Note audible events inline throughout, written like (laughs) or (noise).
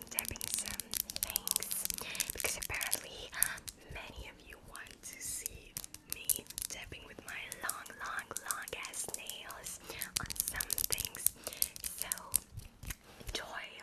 been some things because apparently um, many of you want to see me tapping with my long, long, long ass nails on some things. So enjoy.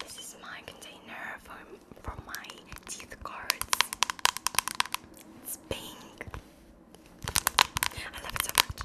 This is my container for, for my teeth cards. It's pink. I love it so much.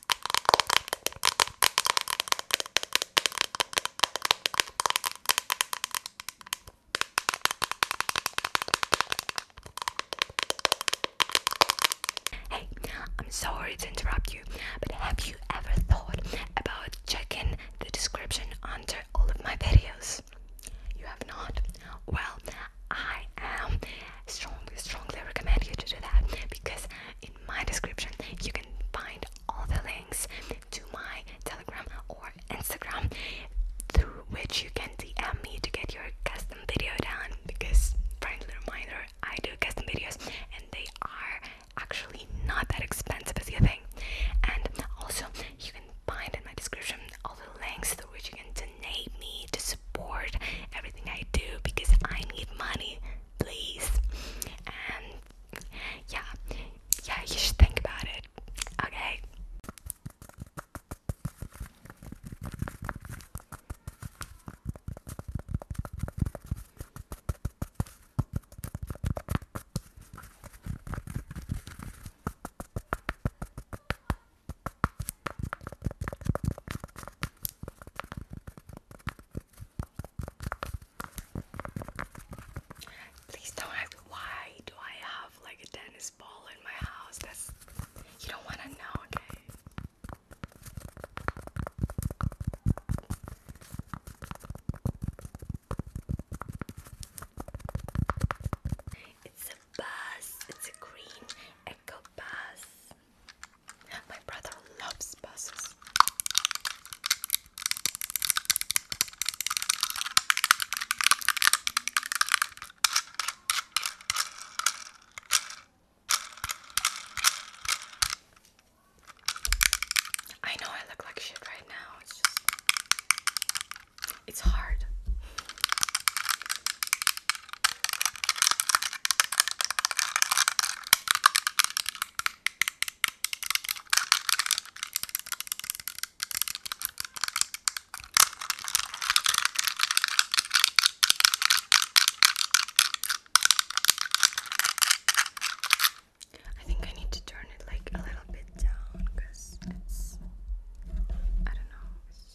Hey, I'm sorry to interrupt you, but have you ever thought about checking the description under all of my videos? You have not? Well, I am strongly, strongly recommend you to do that because in my description. You can find all the links to my Telegram or Instagram through which you can DM me to get your custom video done because friendly reminder I do custom videos and they are actually not that expensive as you think. And also you can find in my description all the links through which you can donate me to support everything I do because I need money please. And um, yeah, yeah, you should think about it. Okay. Please don't ask why do I have like a tennis ball in my house. That's you don't wanna know, okay? It's a bus, it's a green echo bus. My brother loves buses. I know I look like shit right now. It's just it's hard. I think I need to turn it like a little bit down because it's I don't know. It's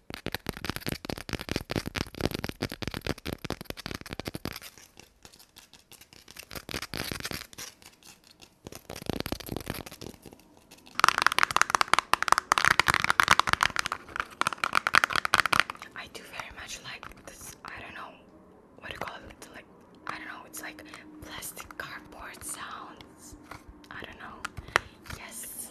I do very much like this. I don't know what do you call it. Like I don't know. It's like plastic cardboard sounds. I don't know. Yes.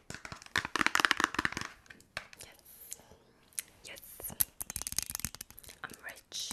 Yes. Yes. I'm rich.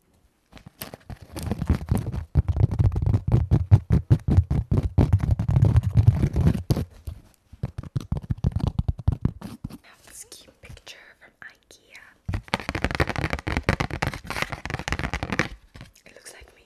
Have this cute picture from IKEA. It looks like me.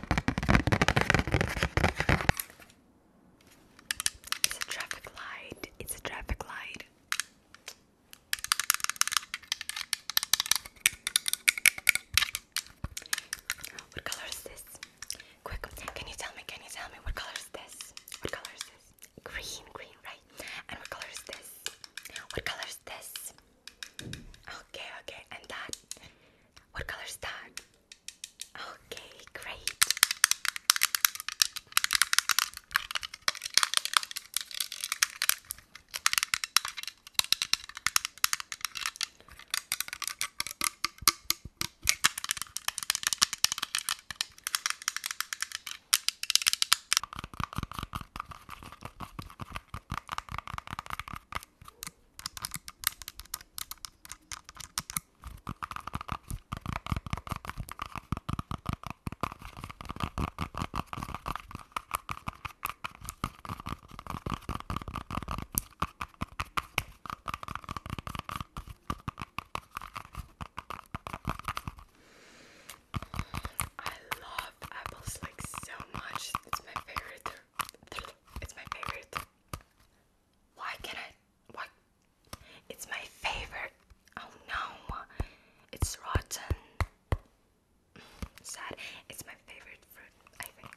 It's a traffic light. It's a traffic light. What color is this? Quick, can you tell me? Can you tell me what color is this? What color is this? Green, green, right? And what color is this? What color is this? Okay, okay, and that. What color is that? Okay, great. I love apples like so much. It's my favorite. It's my favorite. Why can I? Why? It's my favorite. Oh no, it's rotten. Mm, sad. It's my favorite fruit. I think.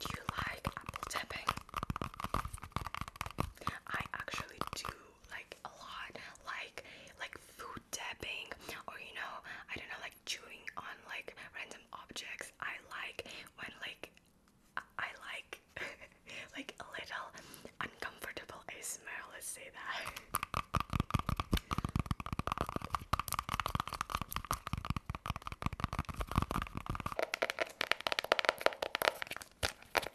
Do you like apple I actually do like a lot, like like food tapping, or you know, I don't know, like chewing on like random objects. I like when like I like (laughs) like a little uncomfortable ASMR. Let's say that.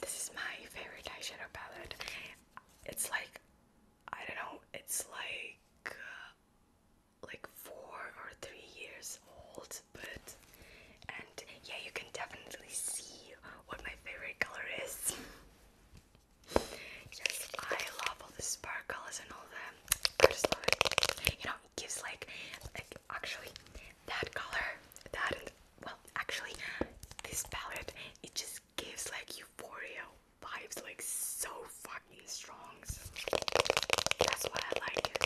This is my favorite eyeshadow palette. It's like I don't know, it's like uh, like four or three years old, but and yeah, you can definitely see what my favorite color is. (laughs) I love all the sparkles and all that. I just love it. You know, it gives like, like actually that color, that well, actually this palette, it just gives like euphoria vibes like so fucking strong. that's why I like it.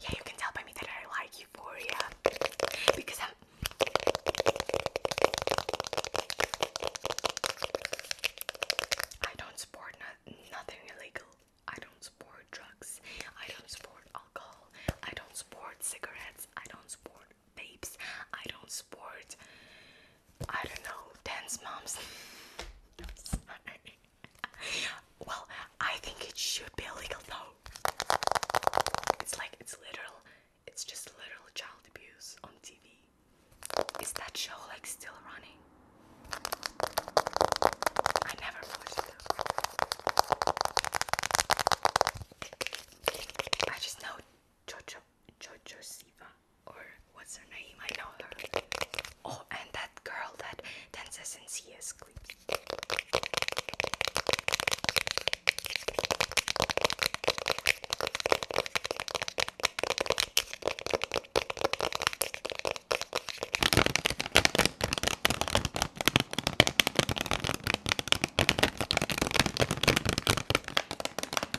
Yeah, you can tell by me that I like Euphoria because I'm. I do not support nothing illegal. I don't support drugs. I don't support alcohol. I don't support cigarettes. I don't support babes. I don't support. I don't know dance moms. (laughs) Well, I think it should be illegal though. It's like it's literal. It's just literal child abuse on TV. Is that show like still running? I never watched it. I just know Jojo Jojo Siva or what's her name? I know her. Oh, and that girl that dances in CS clips.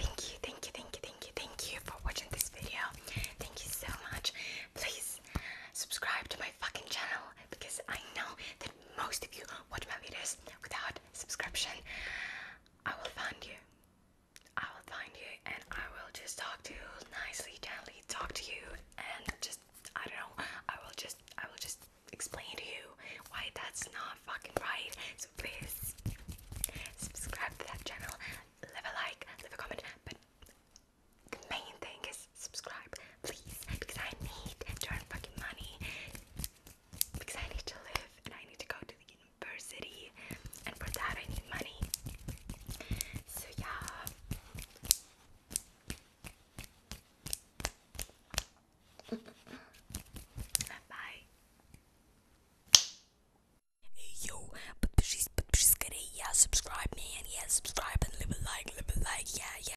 Thank you, thank you, thank you, thank you, thank you for watching this video. Thank you so much. Please subscribe to my fucking channel because I know there most of you watch my videos without subscription, I will find you. I will find you and I will just talk to you nicely, gently talk to you and just I don't know, I will just I will just explain to you why that's not fucking right. So please subscribe to that channel, leave a like, leave a comment, but the main thing is subscribe please, because I need to earn fucking money, because I need to live and I need to go to the university, and for that I need money. So yeah. (laughs) Bye. Hey yo, подпишись, подпишись скорее, я yeah, subscribe, man, yeah, subscribe and leave a like, leave a like, yeah, yeah.